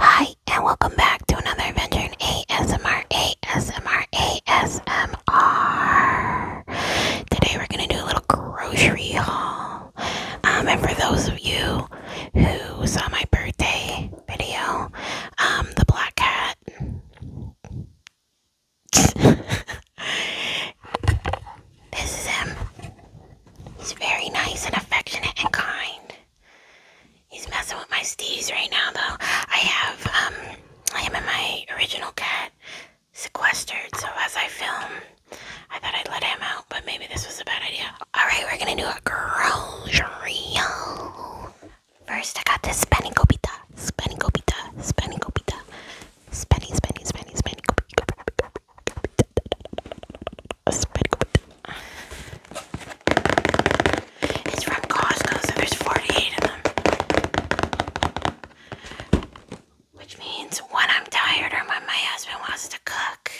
Hi, and welcome back to another adventure in ASMR, ASMR, ASMR. Today we're gonna do a little grocery haul. Um, and for those of you who saw my birthday video, um, the black cat. this is him. He's very nice and affectionate and kind. He's messing with my steez right now, though. I have um, am in my original cat sequestered, so as I film, I thought I'd let him out, but maybe this was a bad idea. All right, we're gonna do a grocery. First, I got this spenny copita, spenny copita, spenny copita, spenny, it's pretty good. It's from Costco, so there's 48 of them. Which means when I'm tired or when my husband wants to cook,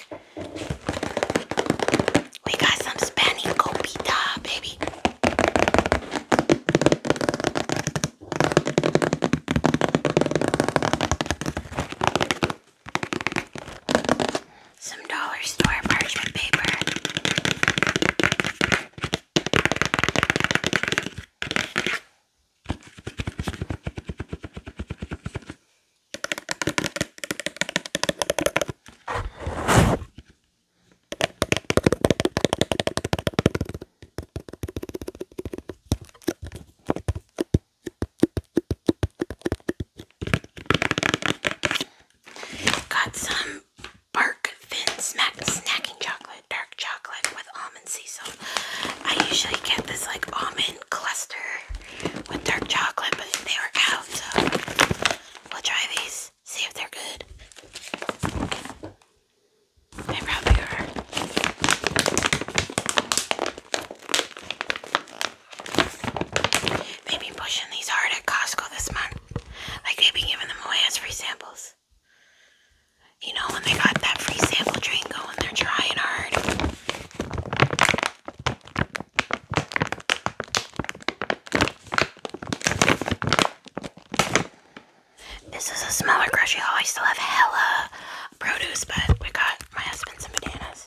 we got some Spanish baby. Some dollar store parchment paper. Got some Bark Thin Smack Snacking Chocolate, dark chocolate with almond sea salt. I usually get this like almond cluster with dark chocolate, but they were out, so we'll try these, see if they're good. They probably They've pushing these hard at Costco this month. Like they've giving them away as free samples. You know, when they got that free sample train going, they're trying hard. This is a smaller grocery haul. I still have hella produce, but we got my husband some bananas.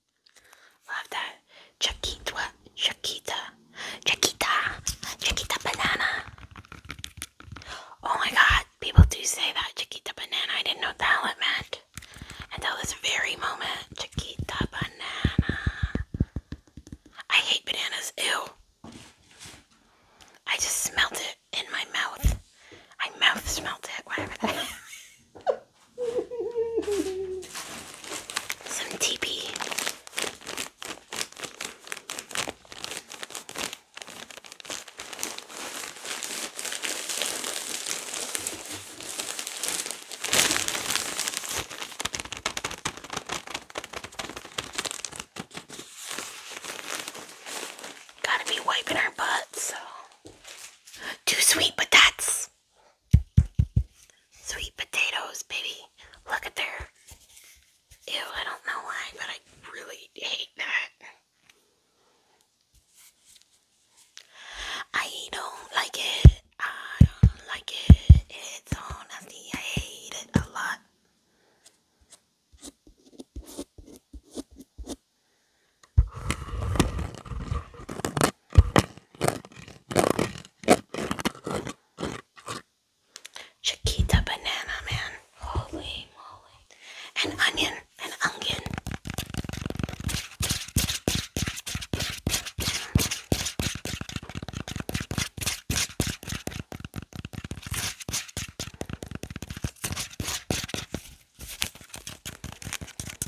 Love that. Chiquita, Chiquita, Chiquita, Chiquita banana. Oh my god, people do say that, Chiquita banana. I didn't know what the hell it meant until this very moment. Chiquita banana. I hate bananas. Ew. I just smelt it in my mouth. My mouth smelt it, whatever that is. Some TP. Gotta be wiping our butts, Too sweet, but that's Sweet potatoes, baby. Look at their. Ew, I don't know why, but I really hate that. I don't like it. I don't like it. It's so nasty. I hate it a lot. Chiquita banana, man. Holy moly. An onion. An onion.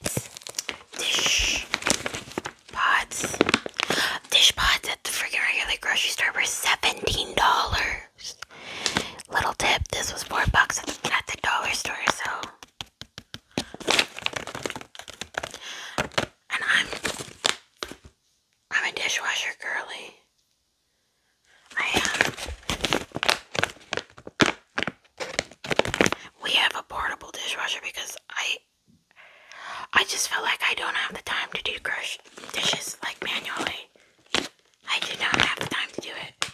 That's dish pots. Dish pots at the freaking regular grocery store were $17. Little tip, this was four bucks at the, dollar store, so. And I'm I'm a dishwasher girly. I am. Um, we have a portable dishwasher because I I just feel like I don't have the time to do dishes like manually. I did not have the time to do it.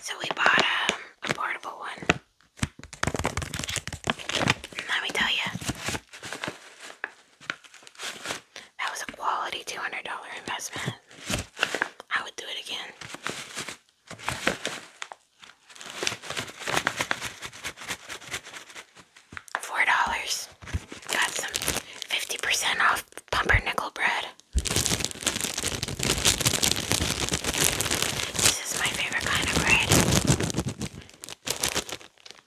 So we bought um, a portable one. let me tell you, that was a quality $200 investment. I would do it again. $4. Got some 50% off love pumpernickel bread. This is my favorite kind of bread.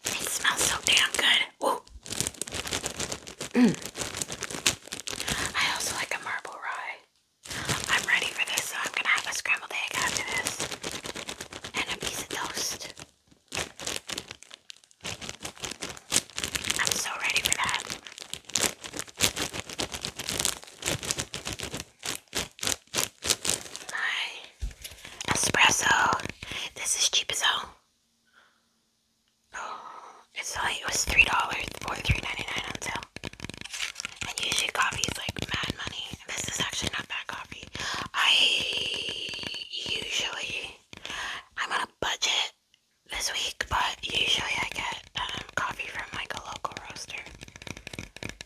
It smells so damn good. Ooh. Mm. I also like a marble rye. I'm ready for this, so I'm gonna have a scrambled egg after this. And a piece of toast. I'm so ready for that. My espresso. This is cheap as hell. Oh, it's like was three dollars or three ninety nine on sale. And usually coffee is like mad money. This is actually not bad coffee. I usually I'm on a budget this week, but usually I get um, coffee from like a local roaster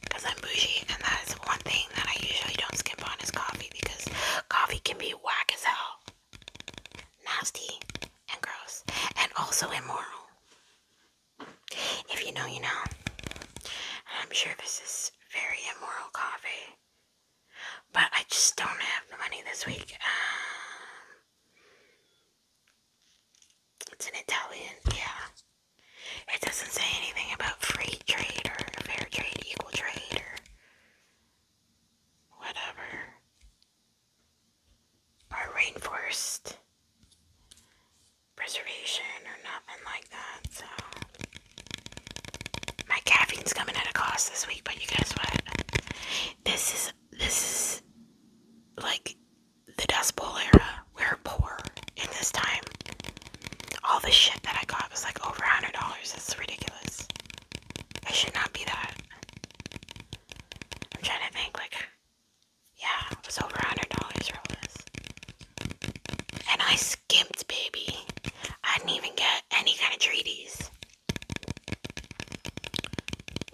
because I'm bougie, and that is one thing that I usually don't skimp on is coffee because coffee can be whack as hell, nasty, and gross, and also immoral. If you know, you know. I'm sure this is very immoral coffee. But I just don't have the money this week. Um, it's an Italian, yeah. It doesn't say anything about free trade or fair trade, equal trade, or whatever. Or rainforest preservation or nothing like that, so my caffeine's coming at a cost this week, but you guess what? This is this is like the Dust Bowl era. We're poor in this time. All the shit that I got was like over a hundred dollars. It's ridiculous. It should not be that. I'm trying to think like yeah, it was over a hundred dollars for all And I skimped, baby. I didn't even get any kind of treaties.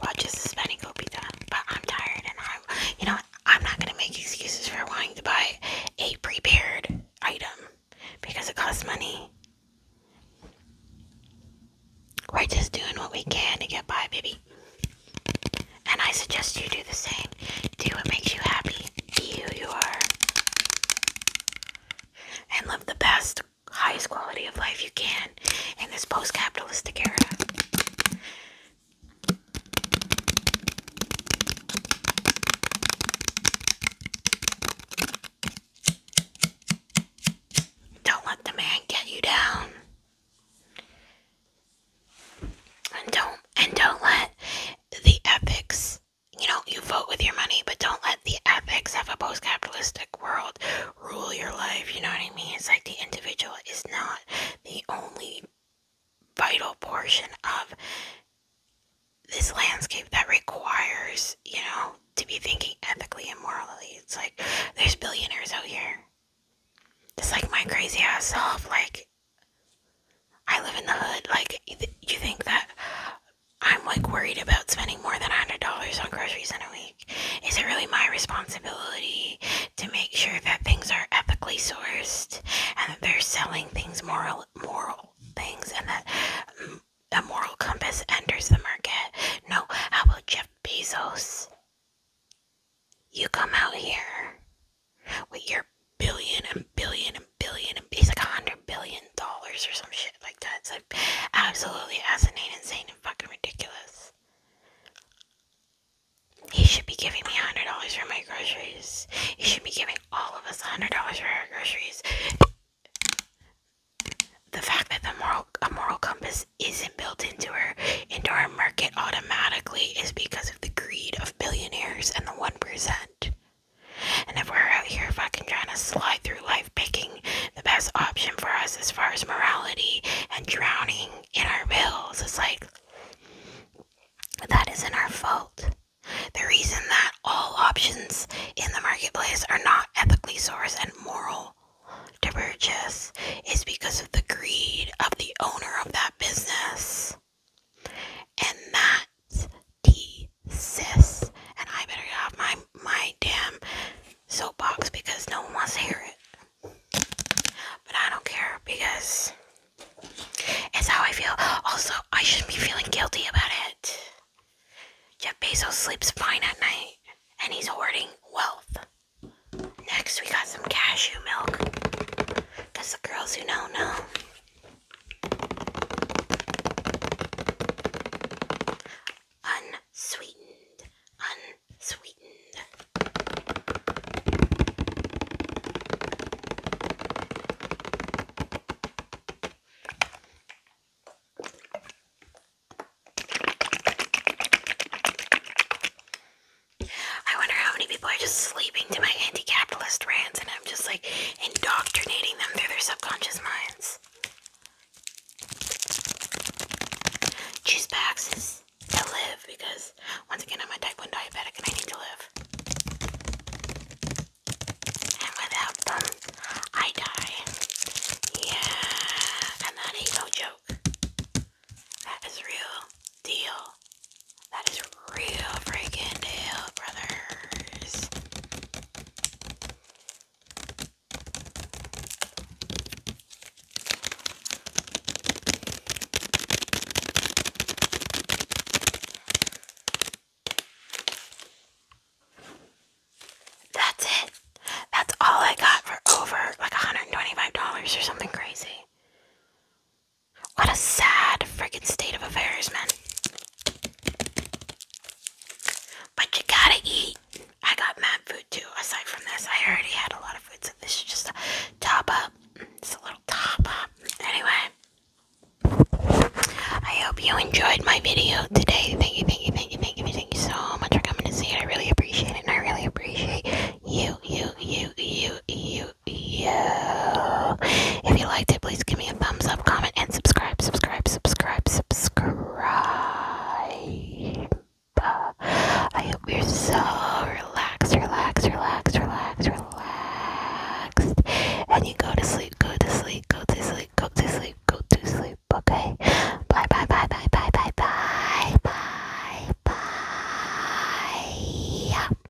Well, just a spending But I'm tired and I'm, you know, I'm not going to make excuses for wanting to buy a prepared item because it costs money. We're just doing what we can to get by, baby. And I suggest you do the same. Do what makes you happy. Be who you are and live the best, highest quality of life you can in this post capitalistic era. Don't let the man get you down. And don't and don't let the ethics you know, you vote with your money, but don't let the ethics of a post capitalistic world rule your life. You know what I mean? It's like the individual is not the only vital portion of this landscape that requires, you know, to be thinking ethically and morally. It's like there's billionaires out here. It's like my crazy ass self, like I live in the hood. Like, you think that I'm like worried about spending more than $100 on groceries in a week? Is it really my responsibility to make sure that things are ethically sourced and that they're selling things moral, moral things, and that um, a moral compass enters the market? No. How about Jeff Bezos? You come out here with your billion and billion and billion and he's like a hundred billion dollars or some shit like that. It's like absolutely asinine, insane, and fucking ridiculous. He should be giving me hundred dollars for my groceries. He should be giving all of us hundred dollars for our groceries. The fact that the moral a moral compass isn't built into our into our market automatically is because of the greed of billionaires and the one percent. And if we're out here fucking trying to slide through life picking the best option for us as far as morality and drowning in our bills, it's like that isn't our fault. The reason that all options in the marketplace are not ethically sourced and moral to purchase is because of the greed of the owner of that business. And that's T. Sis And I better get off my, my damn soapbox because no one wants to hear it. But I don't care because it's how I feel. Also, I shouldn't be feeling guilty about it. Jeff Bezos sleeps fine at night and he's hoarding wealth. Next, we got some cashew milk. Because the girls who know know. Unsweetened, unsweetened. I wonder how many people are just sleeping to my anti capitalist rants and I'm just like indoctrinating them through their subconscious minds. Choose Pax's to live because once again I'm a type 1 diabetic and I need to live. And without them, I die. Yeah, and that ain't no joke. That is real deal. That is real freaking deal, brothers. That's it. That's all I got for over like $125 or something crazy. What a sad freaking state of affairs, man. But you gotta eat. I got mad food too, aside from this. I already had a lot of food, so this is just a top up. It's a little top up. Anyway, I hope you enjoyed my video today. Thank you, thank you, thank you, thank you, thank you so much for coming to see it. I really appreciate it, I really appreciate you, you, you, you. If you liked it, please give me a thumbs up, comment, and subscribe, subscribe, subscribe, subscribe. I hope you're so relaxed, relaxed, relaxed, relaxed, relaxed. And you go to sleep, go to sleep, go to sleep, go to sleep, go to sleep, okay? Bye, bye, bye, bye, bye, bye, bye, bye, bye.